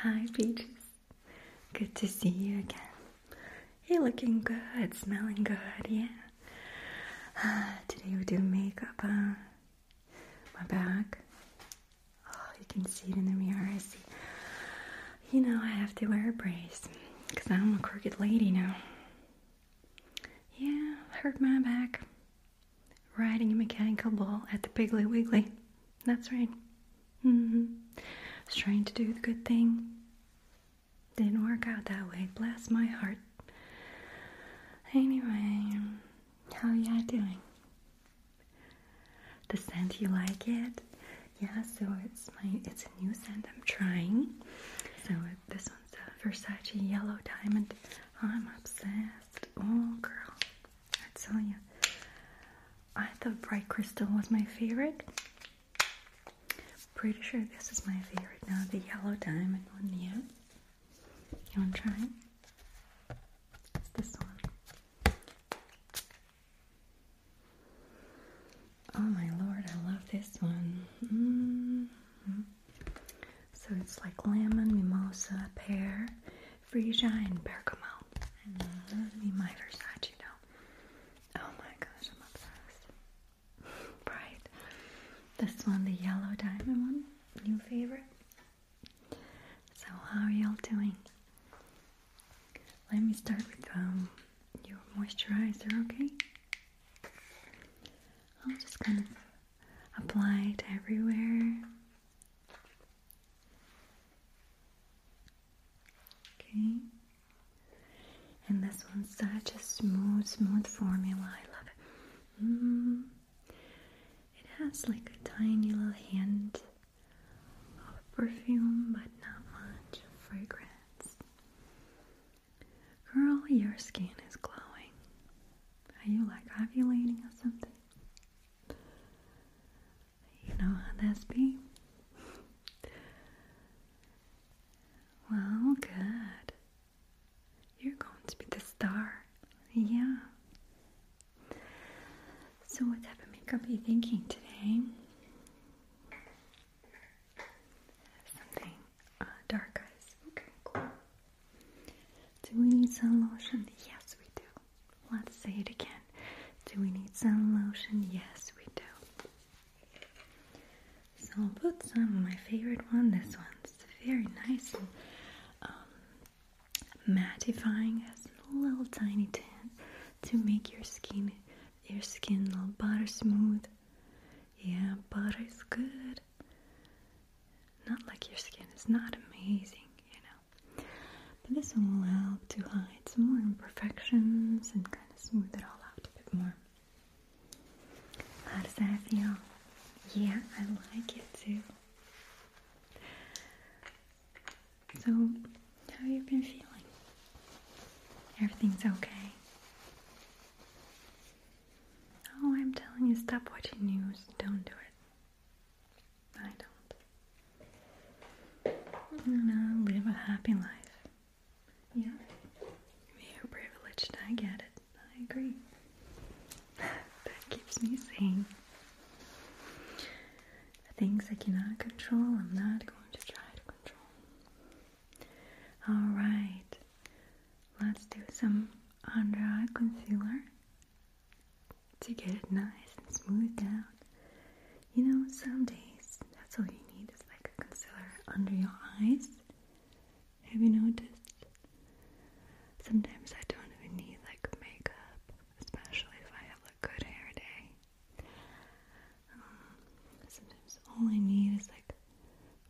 Hi, Peaches. Good to see you again. You're looking good, smelling good, yeah. Ah, today we do makeup on my back. Oh, you can see it in the mirror, I see. You know, I have to wear a brace because I'm a crooked lady now. Yeah, hurt my back riding a mechanical ball at the Piggly Wiggly. That's right. mm Was trying to do the good thing. Didn't work out that way. Bless my heart. Anyway, how you doing? The scent, you like it? Yeah, so it's my it's a new scent I'm trying. So this one the Versace yellow diamond. I'm obsessed. Oh, girl, I tell you. I thought bright crystal was my favorite. Pretty sure this is my favorite now, the yellow diamond one. Yeah, you want to try? It's this one. Oh my lord, I love this one. Mm-hmm. So it's like lemon, mimosa, pear, freesia, and bergamot. And my Versace, you know. Oh my gosh, I'm obsessed. right. This one, the yellow diamond one, new favorite. So how are y'all doing? Let me start with um, your moisturizer, okay? I'm just gonna apply it everywhere. Okay. And this one's such a smooth, smooth formula. I love it. Mm. It has like a tiny little hint of perfume, but not much fragrance. Girl, your skin is glowing. Are you like ovulating or something? You know how that's be? well, good. You're going to be the star. Yeah. So what type of makeup are you thinking today? Something uh, dark eyes. Okay, cool. Do we need sun lotion? Yes, we do. Let's say it again. Do we need sun lotion? Yes, we do. So I'll put some of my favorite one. This one. It's very nice and um, mattifying. Has a little tiny tint to make your skin your skin a little butter smooth. Yeah, butter is good. Not like your skin is not amazing, you know. But this will help to hide some more imperfections and kind of smooth it all out a bit more. How does that feel? Yeah, I like it too. So, how you been feeling? Everything's okay. Oh, I'm telling you, stop watching news. Don't do it. I don't. No, live a happy life. Yeah. You're privileged, I get it. I agree. that keeps me sane. The things I cannot control, I'm not going to try to control. Alright, Let's do some under eye concealer to get it nice and smoothed out. You know, some days that's all you need is like a concealer under your eyes. Have you noticed? Sometimes I don't even need like makeup, especially if I have a good hair day. Um, sometimes all I need is like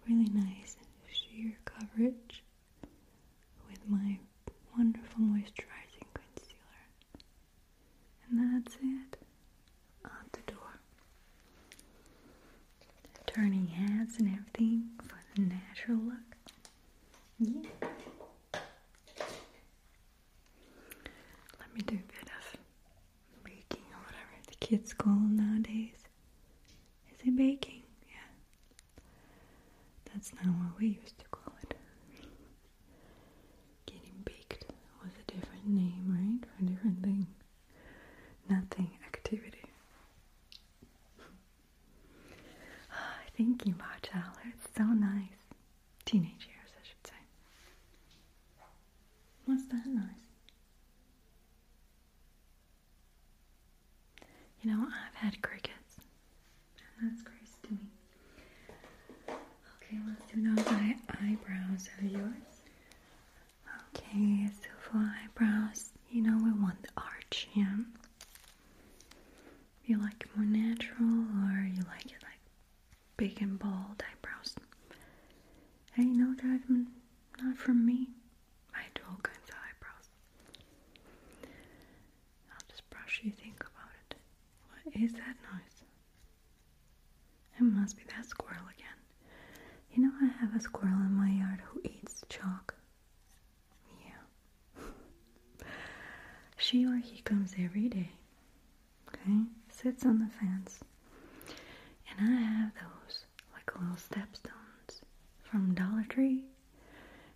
really nice sheer coverage with my wonderful moisturizing concealer. And that's it. Out the door. Turning heads and everything for the natural look. Yeah. Let me do a bit of baking or whatever the kids call nowadays. Is it baking? Yeah. That's not what we used to call it. Getting baked was a different name, right? For a different thing. Nothing activity. Oh, you about childhood, it's so nice. Teenage years, I should say. What's that noise? You know, I've had crickets, and that's crazy to me. Okay, let's do those eye eyebrows are yours. Okay, so for eyebrows, you know, we want the arch, yeah? You like it more natural, or you like it like big and bold eyebrows? Hey, no judgment, not from me. I do all kinds eyebrows. I'll just brush you, think about it. What is that noise? It must be that squirrel again. You know, I have a squirrel in my yard who eats chalk. Yeah. she or he comes every day. Okay? Sits on the fence. And I have those like little stepstones from Dollar Tree,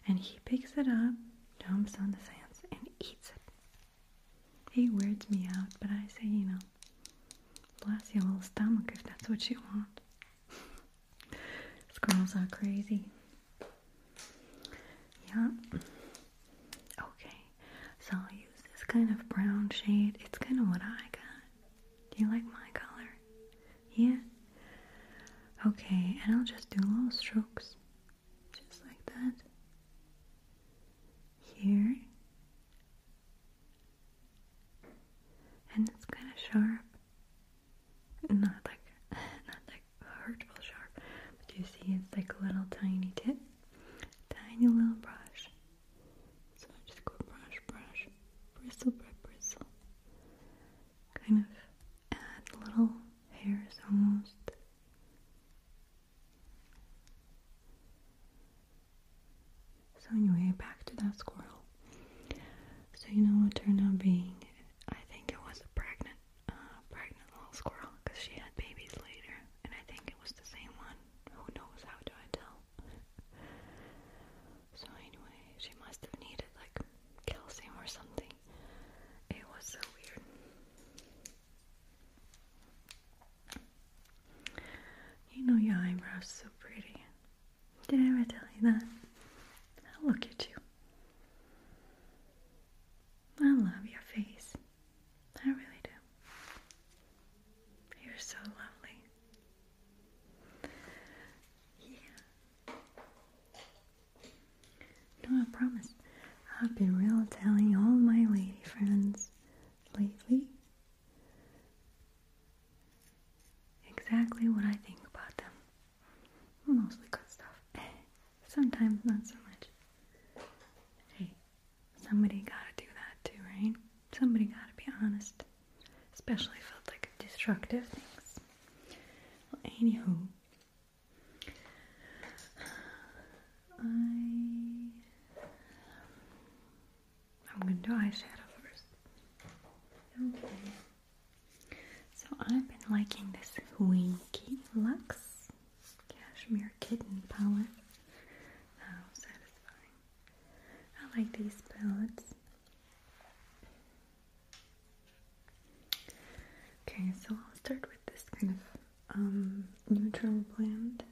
and he picks it up, dumps on the sands, and eats it. He weirds me out, but I say, you know, bless your little stomach if that's what you want. Squirrels are crazy. Yeah. Okay, so I'll use this kind of brown shade. It's kind of what I got. Do you like my color? Yeah? Okay, and I'll just do little strokes. Just like that. Here. And it's kind of sharp. Not like, not like hurtful sharp. But you see, it's like a little tiny tip. Tiny little brush. So I just go brush, brush, bristle bristle. Kind of add little hairs almost. So anyway, back to that squirrel. So you know what turned out being? I think it was a pregnant, uh, pregnant little squirrel because she had babies later, and I think it was the same one. Who knows? How do I tell? So anyway, she must have needed like calcium or something. It was so weird. You know your eyebrows so pretty. Did I ever tell you that? I look at you. I love your face. I really do. You're so lovely. Yeah. No, I promise. I've been real telling all my lady friends lately exactly what I think about them. Mostly good stuff. Sometimes not so much. Hey, somebody gotta do that too, right? Somebody gotta be honest especially felt I like destructive things. Well, anywho, I I'm gonna do eyeshadow first. Okay. So I've been liking this Winky Lux Cashmere Kitten palette. I like these palettes. Okay, so I'll start with this kind of um, neutral blend.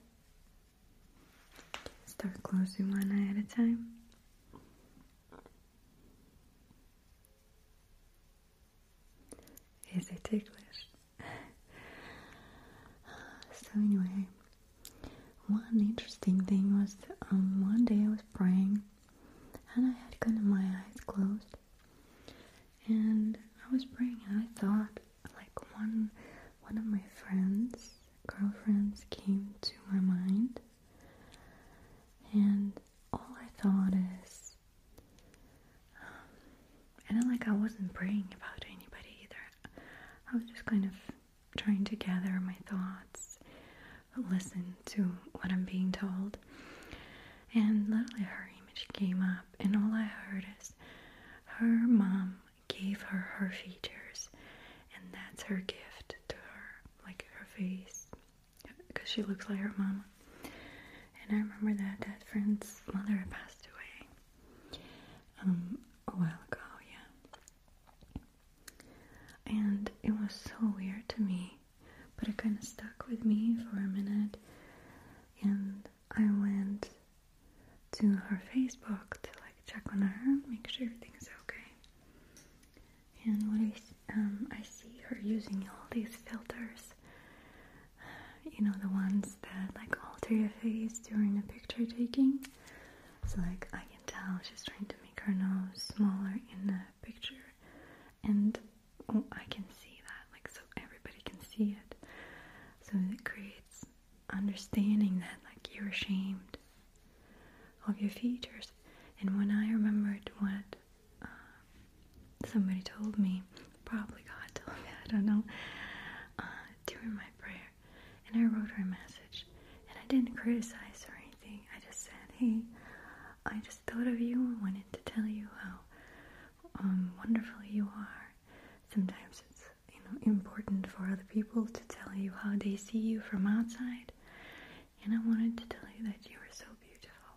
Start closing one eye at a time. Is it ticklish? so anyway, one interesting thing was um, one day I was praying and I had kind of my eyes closed and I was praying and I thought like one one of my friends girlfriends came to my mind and all I thought is um, and then like I wasn't praying about anybody either I was just kind of trying to gather my thoughts, listen to what I'm being told. And literally, her image came up, and all I heard is her mom gave her her features, and that's her gift to her, like her face, because she looks like her mom. And I remember that that friend's mother passed away um, a while ago, yeah. And it was so weird to me, but it kind of stuck with me for a minute. And I went to her Facebook to like check on her, make sure everything's okay. And when I, um, I see her using all these filters, you know, the ones that like alter your face during a picture taking. So like I can tell she's trying to make her nose smaller in the picture and oh, I can see that like so everybody can see it. So it creates understanding that like you're ashamed of your features. And when I remembered what uh, somebody told me, probably God told me, I don't know, uh, during my prayer and I wrote her a message and I didn't criticize or anything. I just said, hey, I just thought of you and wanted to tell you how um, wonderful you are. Sometimes it's you know important for other people to tell you how they see you from outside. And I wanted to tell you that you are so beautiful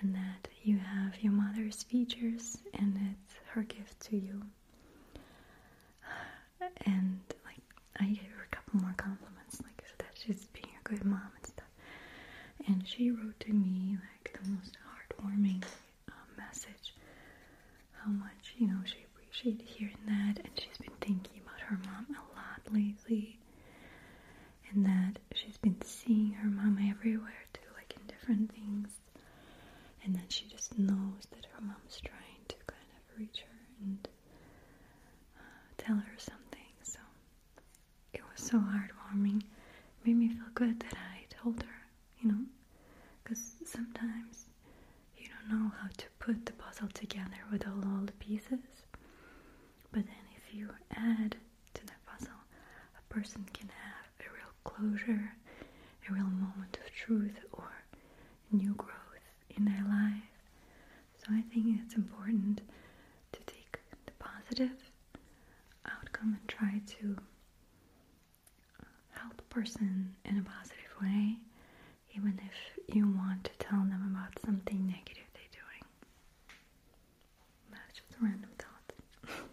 and that you have your mother's features and it's her gift to you. and like I gave her a couple more compliments, like that she's being a good mom and stuff. And she wrote to me like the most heartwarming um, message, how much you know she appreciated hearing that, and she's been thinking about her mom a lot lately, and that she's been seeing her mom everywhere too, like in different things, and that she just knows that her mom's trying to kind of reach her and uh, tell her something. So it was so heartwarming. made me feel good that I told her, you know, because sometimes you don't know how to put the puzzle together with all, all the pieces. But then if you add to that puzzle, a person can have a real closure, a real moment of truth, or new growth in their life. So I think it's important to take the positive outcome and try to uh, help a person in a positive way, even if you want to tell them about something negative they're doing. That's just a random thought.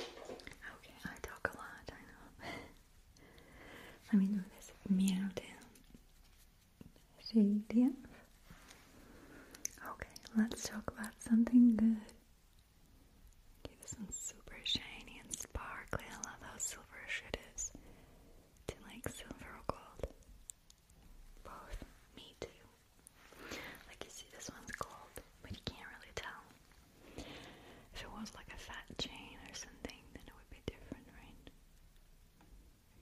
Okay, I talk a lot, I know. Let me do this mierda. Shadef. Okay, let's talk about something good. Okay, this one's super shiny and sparkly. I love how silverish it is. Do like silver or gold? Both. Me too. Like you see, this one's gold, but you can't really tell. If it was like a fat chain or something, then it would be different, right?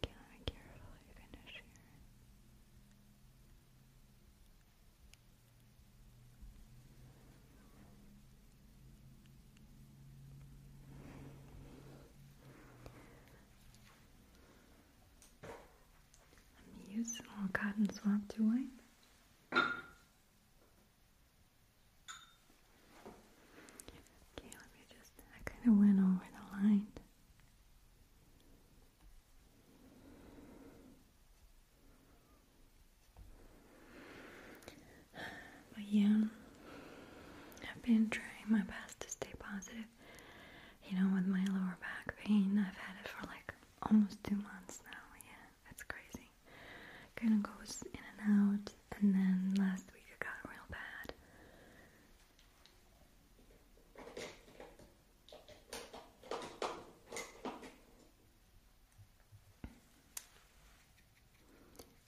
Okay, finish here. use a cotton swab to wipe. Okay, let me just, I kind of went over the line. But yeah, I've been trying my best to stay positive. You know, with my lower back pain, I've had it for like almost two months now, yeah. That's crazy. Kind of goes in and out, and then last week I got real bad.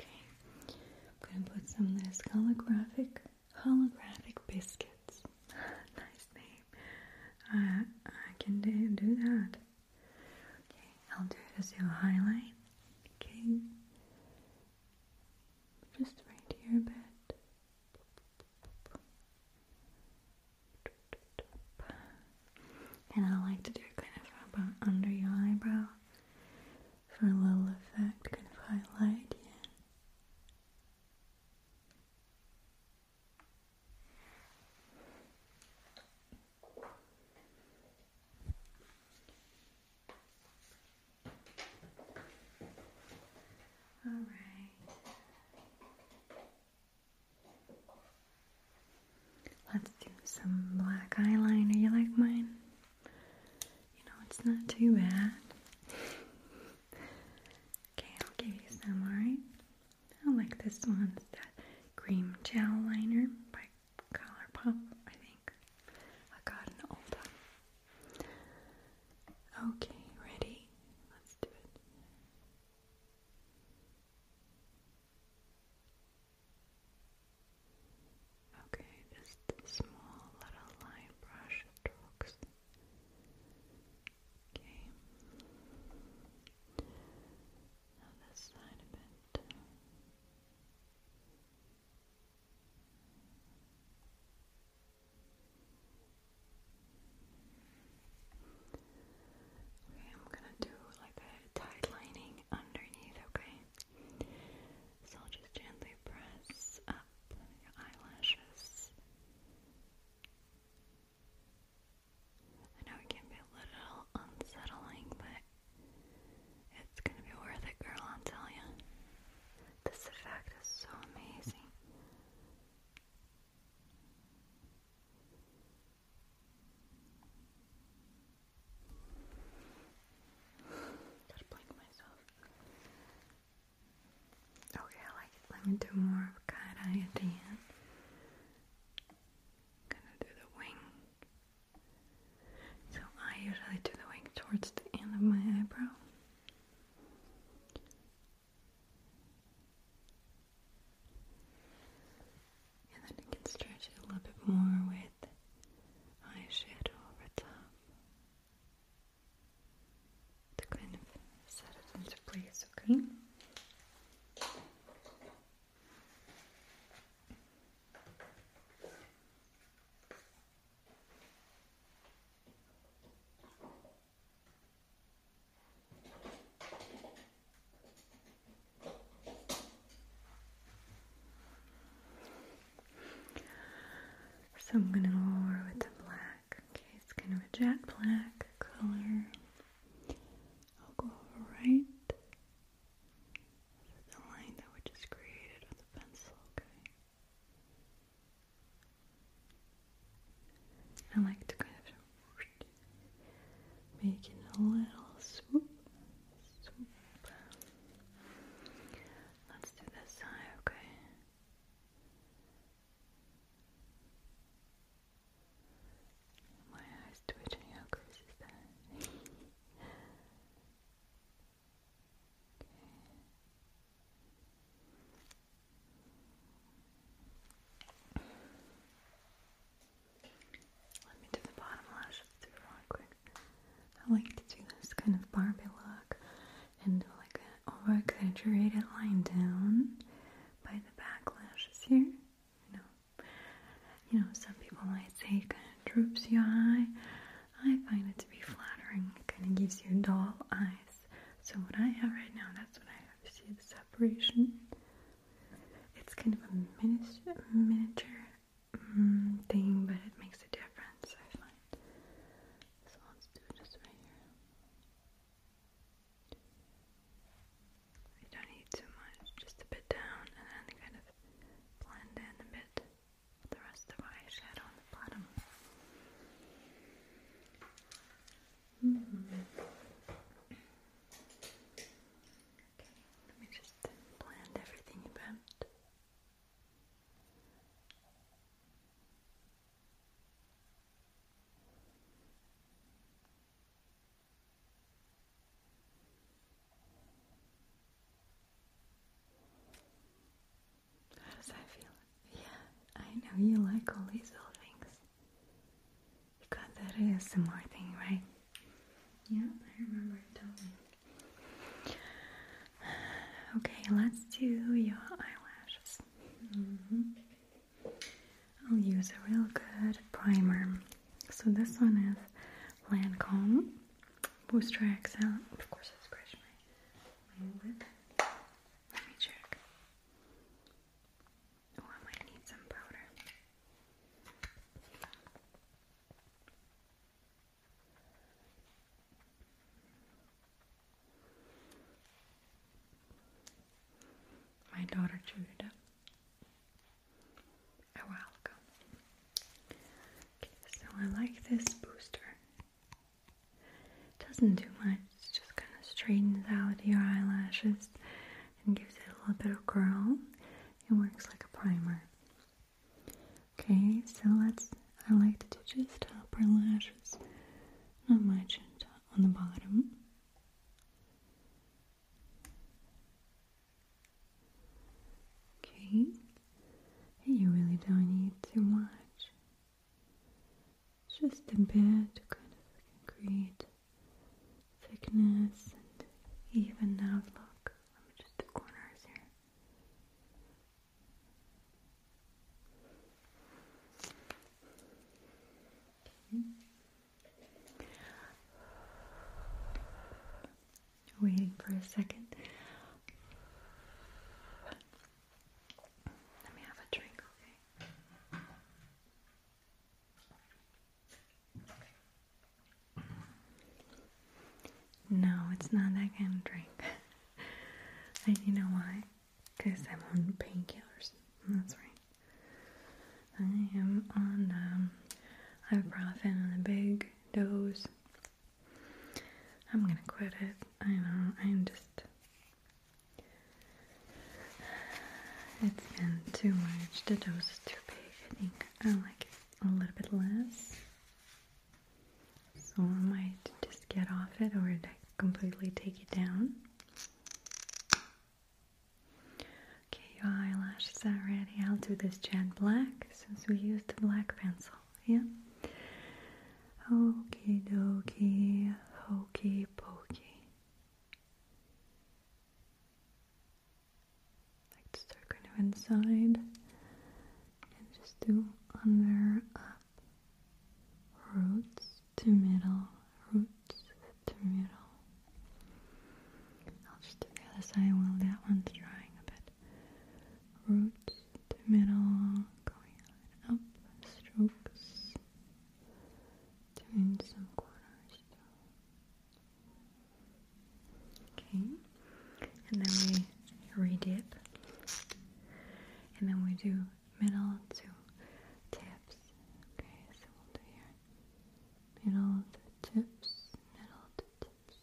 Okay, I'm gonna put some of this holographic, holographic biscuits. nice name. Uh, I can do that. Okay, I'll do it as your highlight. Okay. Just right here a bit. And I like to do kind of about under your eyebrow for a little effect, kind of highlight, yeah. All right. Let's do some black eyeliner. You like mine? You know, it's not too bad. okay, I'll give you some, alright? I like this one. It's that cream gel liner by ColourPop, I think. I got an old Okay, ready? Let's do it. Okay, just small little line brush strokes Okay. Now this side a bit. I'm gonna do like a tight underneath, okay? So I'll just gently press up your eyelashes. I know it can be a little unsettling, but it's gonna be worth it, girl, I'll tell you. This effect is so amazing. Gotta blink myself. Okay, I like it. Let me do more of cat eye at the end. Gonna do the wing. So I usually do the wing towards the end of my eyebrow. And then I can stretch it a little bit more with eyeshadow over top to kind of set it into place, okay? So I'm going to lower with the black. Okay, it's kind of a jet black color. I'll go right over the line that we just created with the pencil, okay? I like to kind of make it a little swoop, Let's do this side, okay? My eyes twitch and your crease Let me do the bottom lashes too quick. I like to do this kind of Barbie look and do like an over exaggerated line down by the back here. You know, you know, some people might say it kind of droops your eye. I find it to be flattering. It kind of gives you doll eyes. So what I have right now, that's what I have. You see the separation? It's kind of a miniature, miniature mm, thing, but it makes a difference, I find. So let's do this right here. I don't need too much, just a bit down and then kind of blend in a bit the rest of my eyeshadow on the bottom. Mm-hmm. let me just blend everything about. How does that feel? Yeah, I know you like all these little things. You got that ASMR thing, right? Yeah, I remember it totally. Okay, let's do your eyelashes. Mm-hmm. I'll use a real good primer. So this one is Lancome Booster XL. Of course, I scratched my lip. Let me check. Oh, I might need some powder my daughter Juda a Okay, so I like this booster. It doesn't do much, it just kind of straightens out your eyelashes and gives it a little bit of curl. It works like a primer. Okay, so let's, I like to do just upper lashes, not much on the bottom. Okay, you really don't need too much, just a bit to kind of create thickness and even outlook. Let just the corners here. Waiting for a second. Let me have a drink, okay? No, it's not that kind of drink. and you know why? Because I'm on painkillers. That's right. I am on um, ibuprofen on a big dose. I'm gonna quit it. I know. I'm just. It's been too much. The dose is too big. I think I like it a little bit less. So I might just get off it or completely take it down. Okay, your eyelashes are ready. I'll do this jet black since we used the black pencil. Yeah. Okie dokie, hokey pokey. Like to start kind of inside and just do under up roots to middle, roots to middle. I'll just do the other side while that one's drying a bit. Roots to middle, going up, strokes, doing some corners. Okay, and then we redip, and then we do middle to tips. Okay, so we'll do here middle to tips, middle to tips.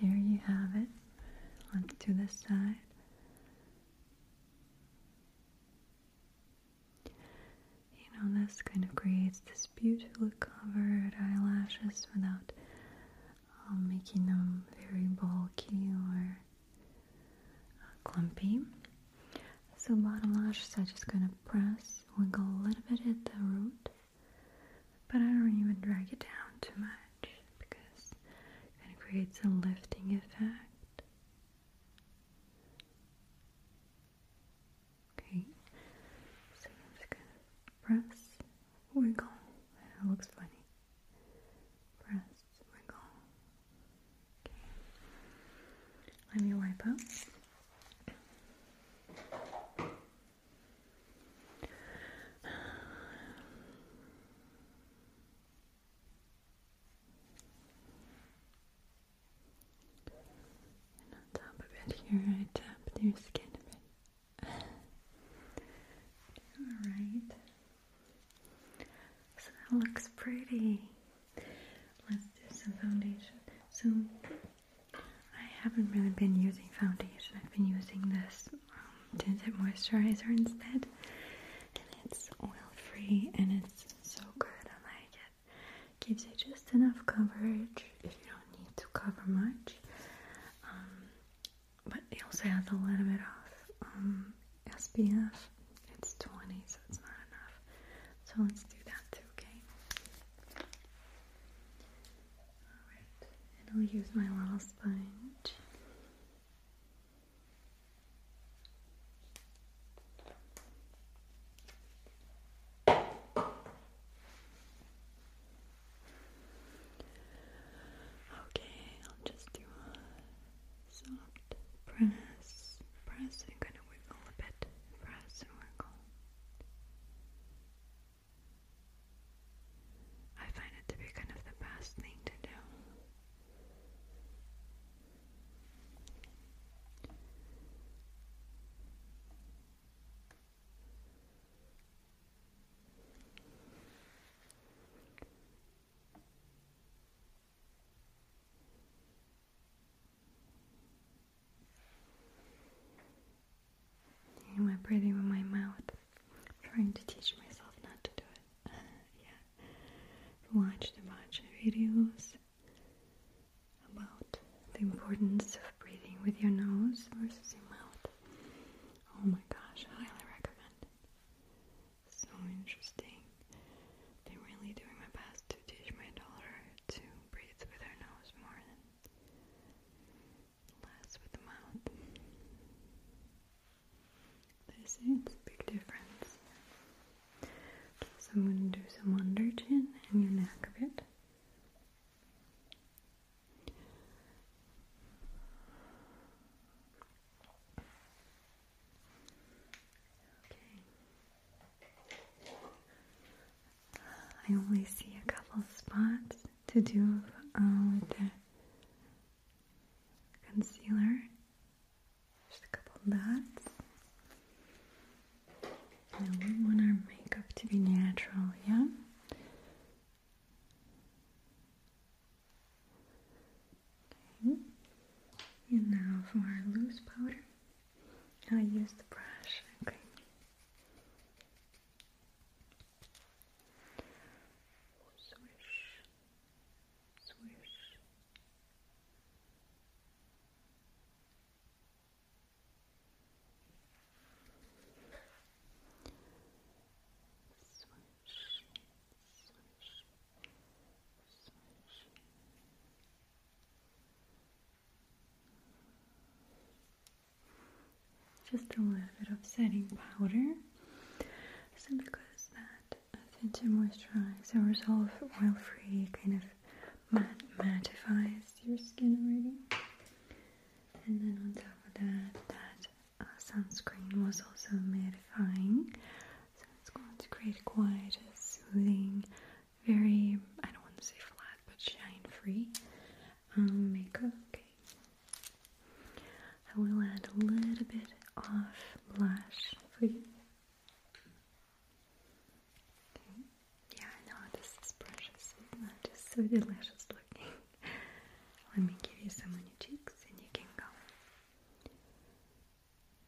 There you have it. Let's do this side. You know, this kind of creates this beautifully covered eyelashes without um, making them very bulky or uh, clumpy. So bottom lashes, i just gonna press, wiggle a little bit at the root, but I don't even drag it down too much because it creates a lifting effect. Okay, so just gonna press wiggle. Oh it looks funny. Press, wiggle. Oh okay. Let me wipe up. And on top here, I tap your skin a bit. Alright. So that looks pretty. Let's do some foundation. So I haven't really been using foundation. I've been using this um, tinted moisturizer instead. And it's oil-free and it's so good. I like it. Gives you just enough coverage if you don't need to cover much. Um, but he also has a little bit of um, SPF. It's 20, so it's not enough. So let's do that too, okay? Alright, and I'll use my little sponge. Okay, I'll just do a soft press, press, and kind of wiggle a bit, press and wiggle. I find it to be kind of the best thing to do. Am I breathing with my mouth? trying to teach myself not to do it. Uh, yeah. Watched a bunch of videos about the importance of breathing with your nose versus your mouth. Oh my gosh, highly recommend it. So interesting. I'm really doing my best to teach my daughter to breathe with her nose more than less with the mouth. They say a big difference. So I'm going to do some under chin and your neck a bit. I only see a couple spots to do uh, the concealer. Just a couple dots. we want our makeup to be natural, yeah? And now for our loose powder, I use the brush. Okay. Swish, swish, Swish, swish, swish. Just a little bit of setting powder, so because that tends to moisturize or resolve oil-free kind of mat mattifies your skin already and then on top of that, that uh, sunscreen was also mattifying, so it's going to create quite a soothing, very I don't want to say flat but shine free um, makeup. Okay, I will add a little bit of blush for you. Yeah, I know this is precious, just so delicious looking. Let me give you some on your cheeks and you can go.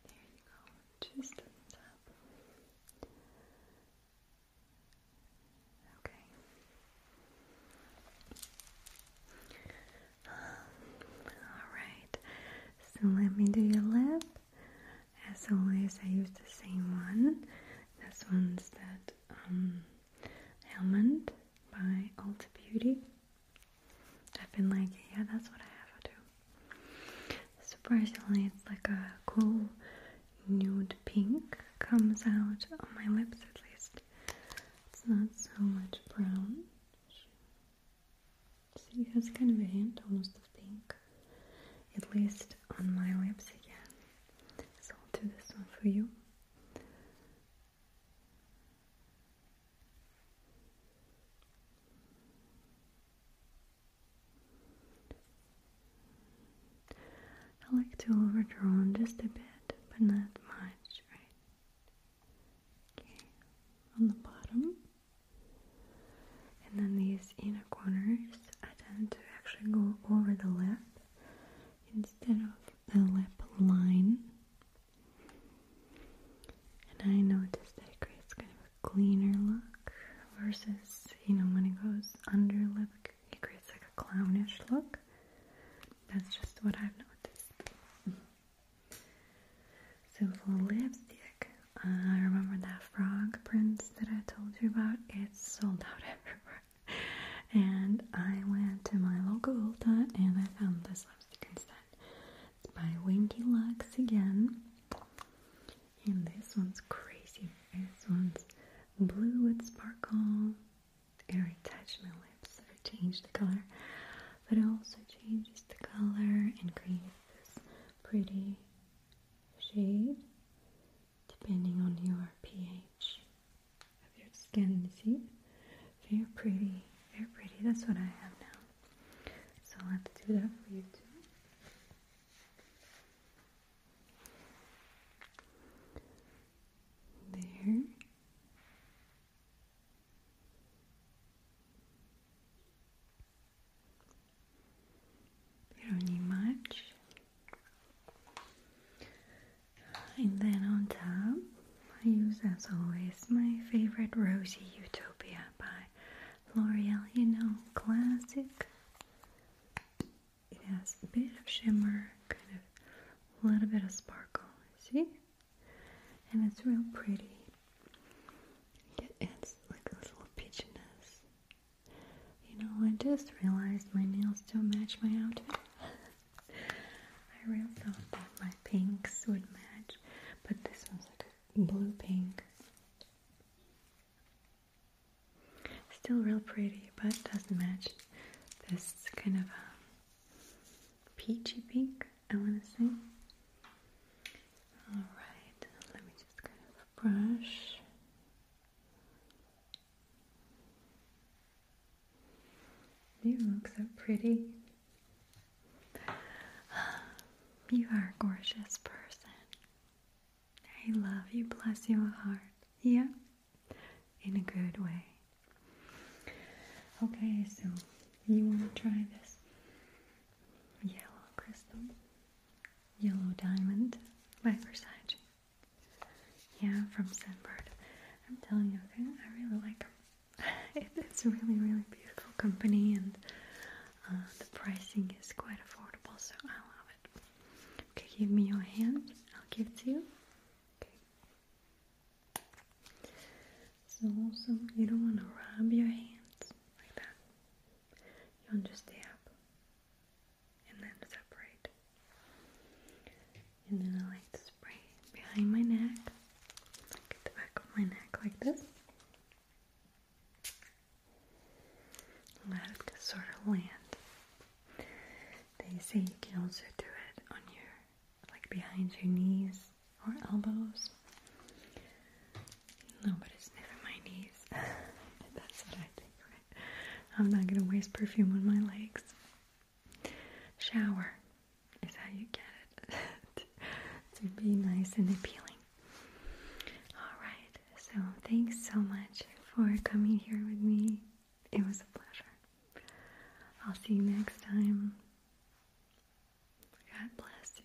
There you go, just on top. Okay. Um, Alright, so let me do your lip. As always, I use the same one. This one's that um, by Ulta Beauty. I've been like, yeah, that's what I have to do. Surprisingly, it's like a cool nude pink comes out on my lips at least. It's not so much brown. See, it has kind of a hint almost of pink. At least on my lips again. So I'll do this one for you. I like to overdraw just a bit, but not much, right? Okay, on the bottom. And then these inner corners, I tend to actually go over the left instead of the lip line. And I noticed that it creates kind of a cleaner look versus, you know, when it goes under lip, it creates like a clownish look. That's just what I've noticed. So for lipstick, uh, I remember that frog prints that I told you about. It's sold out everywhere and I went to my local Ulta and I found this lipstick instead. It's by Winky Lux again. And this one's crazy. This one's blue with sparkle. I retouched my lips, so I changed the color. But it also changes the color and creates this pretty shade depending on your pH of your skin. You are pretty. You're pretty. That's what I have now. So let's do that for you too. There. You don't need much. And then on top, I use as always my favorite Rosy Utopia by L'Oreal, you know, classic. It has a bit of shimmer, kind of a little bit of sparkle, see? And it's real pretty. It adds like a little peachiness you know, I just realized my nails don't match my outfit. I really thought that my pinks would match, but this one's like a blue pink. Still real pretty, but doesn't match this kind of um, peachy pink, I want to say. Alright, let me just kind of brush you look so pretty. You are a gorgeous person. I love you. Bless your heart. Yeah? In a good way. Okay, so you want to try this yellow crystal, yellow diamond by Versace. Yeah, from Sunbird. I'm telling you, I really like them. It, it's a really, really beautiful company, and uh, the pricing is quite affordable, so I love it. Okay, give me your hand. I'll give it to you. Okay. So also, you don't want to rub your hands like that. You want to stay up and then separate. And then I like to spray behind my neck, like the back of my neck, like this. Let it sort of land. They say you can also do it on your, like behind your knees or elbows. No, but it's never my knees. That's what I think. I'm not gonna waste perfume on my legs. Shower is how you get it to be nice and appealing. Alright, so thanks so much for coming here with me. It was a pleasure. I'll see you next time. God bless you.